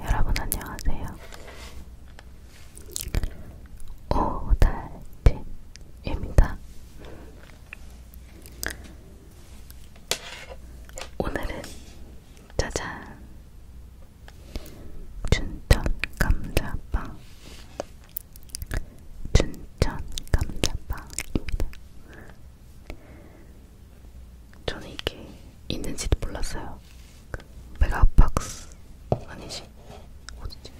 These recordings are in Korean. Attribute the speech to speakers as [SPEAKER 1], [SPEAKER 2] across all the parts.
[SPEAKER 1] 여러분 안녕하세요. 오달진입니다. 오늘은 짜잔 춘천 감자빵 춘천 감자빵입니다. 저는 이게 있는지도 몰랐어요. 메가박스 아니지? 어디지?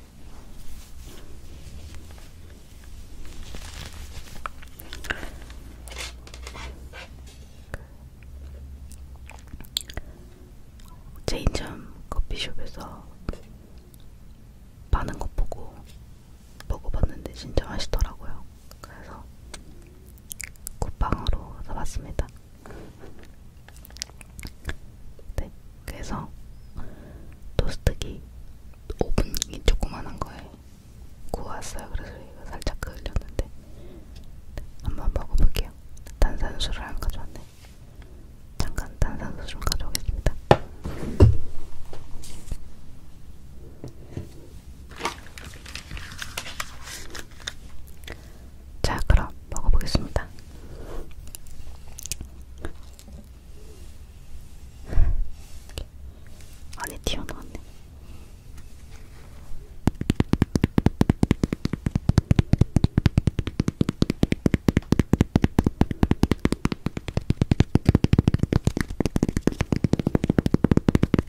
[SPEAKER 1] 체인점 커피숍에서 파는 거 보고 먹어봤는데 진짜 맛있더라고요. 그래서 쿠팡으로 사봤습니다. 네, 그래서 토스트기 오븐이 조그만한 거에 구웠어요. 그래서 이거 살짝 그을렸는데 한번 먹어볼게요. 탄산수를 안 가져왔네. 잠깐 탄산수 좀 가져오겠습니다. 자, 그럼 먹어보겠습니다. 안에 튀어나왔네.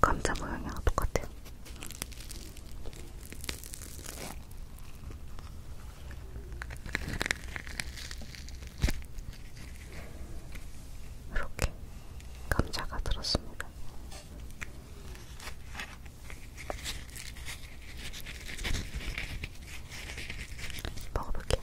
[SPEAKER 1] 감자 모양이랑 똑같아요. 이렇게 감자가 들었습니다. 먹어볼게요.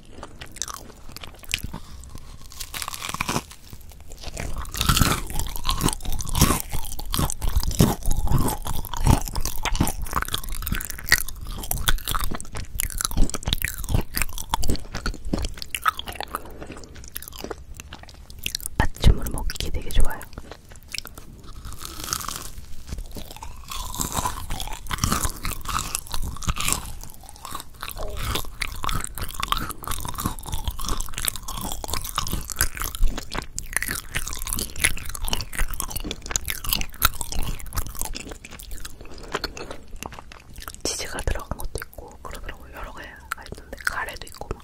[SPEAKER 1] 아침으로 먹기 되게 좋아요. 치즈가 들어간 것도 있고 그러더라고요. 여러 개가 있던데 카레도 있고 막.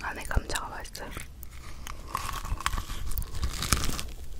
[SPEAKER 1] 안에 감자가 맛있어요.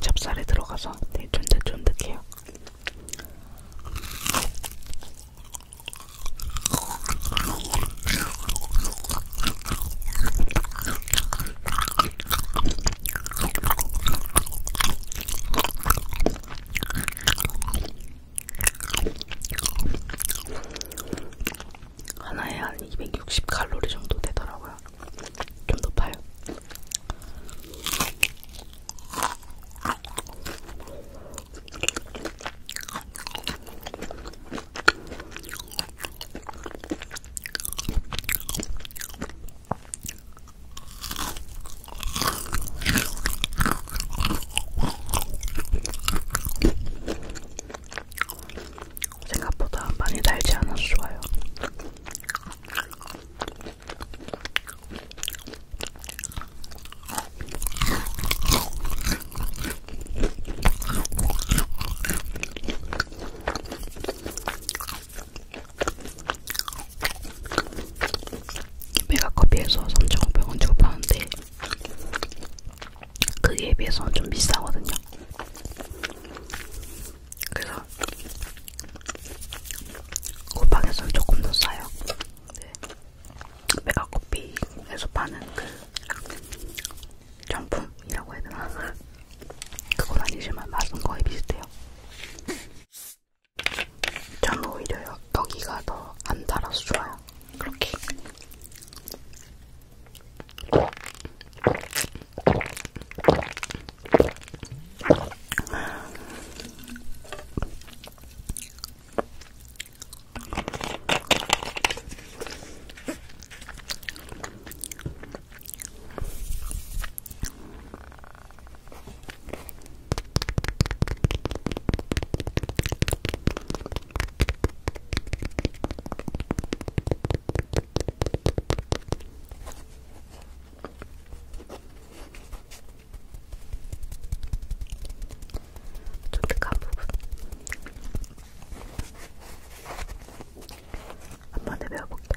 [SPEAKER 1] 찹쌀에 들어가서 되게 네, 쫀득쫀득해요. 하나에 한 260칼로리 정도 되더라고요. 좀 높아요. 생각보다 많이 달지 않아서 좋아요. 메가커피에서 3,500원 주고 파는데 그에 비해서는 좀 비싸거든요. 그래서 쿠팡에서는 조금 더 싸요. 네. 메가커피에서 파는 그 정품이라고 해야 되나? 그건 아니지만 맛은 거의 비슷해요. 전 오히려 여기가 더 안 달아서 좋아요. 그렇게. 쫀득한 부분 한번에 배워볼게요.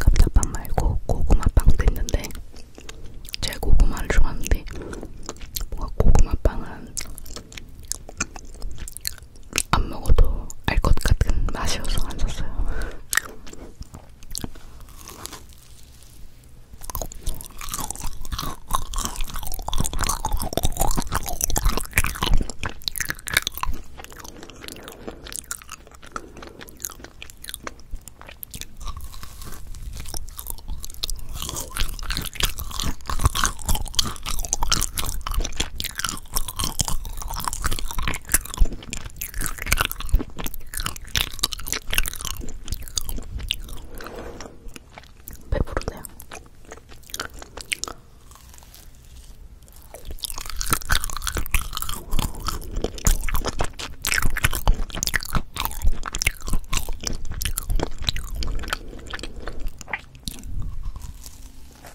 [SPEAKER 1] 감자빵 말고 고구마빵도 있는데 제가 고구마를 좋아하는데 뭔가 고구마빵은 안 먹어도 알 것 같은 맛이어서 안 샀어요. 배부르네요.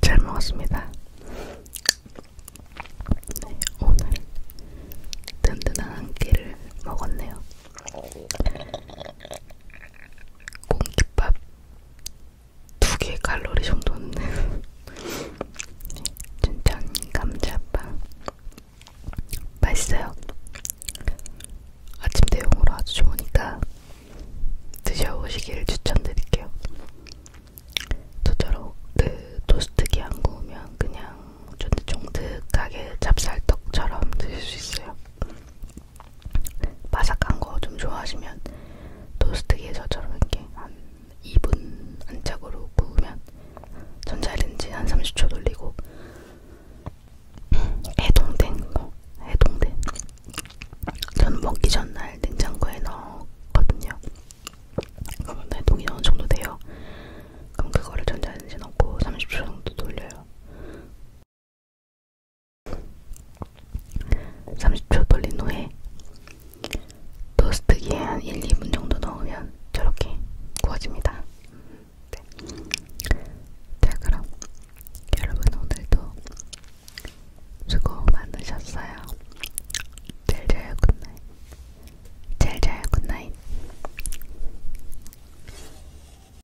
[SPEAKER 1] 잘 먹었습니다. 네, 오늘 든든한 한 끼를 먹었네요. 공깃밥 두 개 칼로리 정도는 진짜 감자빵 맛있어요. 아침 대용으로 아주 좋으니까 드셔보시길 추천드릴게요. 저처럼 그 토스트기 안 구우면 그냥 쫀득쫀득하게 찹쌀떡처럼 드실 수 있어요. 바삭한 거 좀 좋아하시면 토스트기에 저처럼 이렇게 한 2분 안짝으로 구우면 전자레인지 한 30초 돌리고 해동된 거 해동된 전 먹기 전날 냉장고에 넣었거든요. 그러면 해동이 어느 정도 돼요. 그럼 그거를 전자레인지 넣고 30초 정도 돌려요. 30초 돌린 후에 토스트기에 한 1, 2분 정도 넣으면 저렇게 구워집니다. 네. 자 그럼 여러분 오늘도 수고 많으셨어요. 잘 자요 굿나잇. 잘 자요 굿나잇.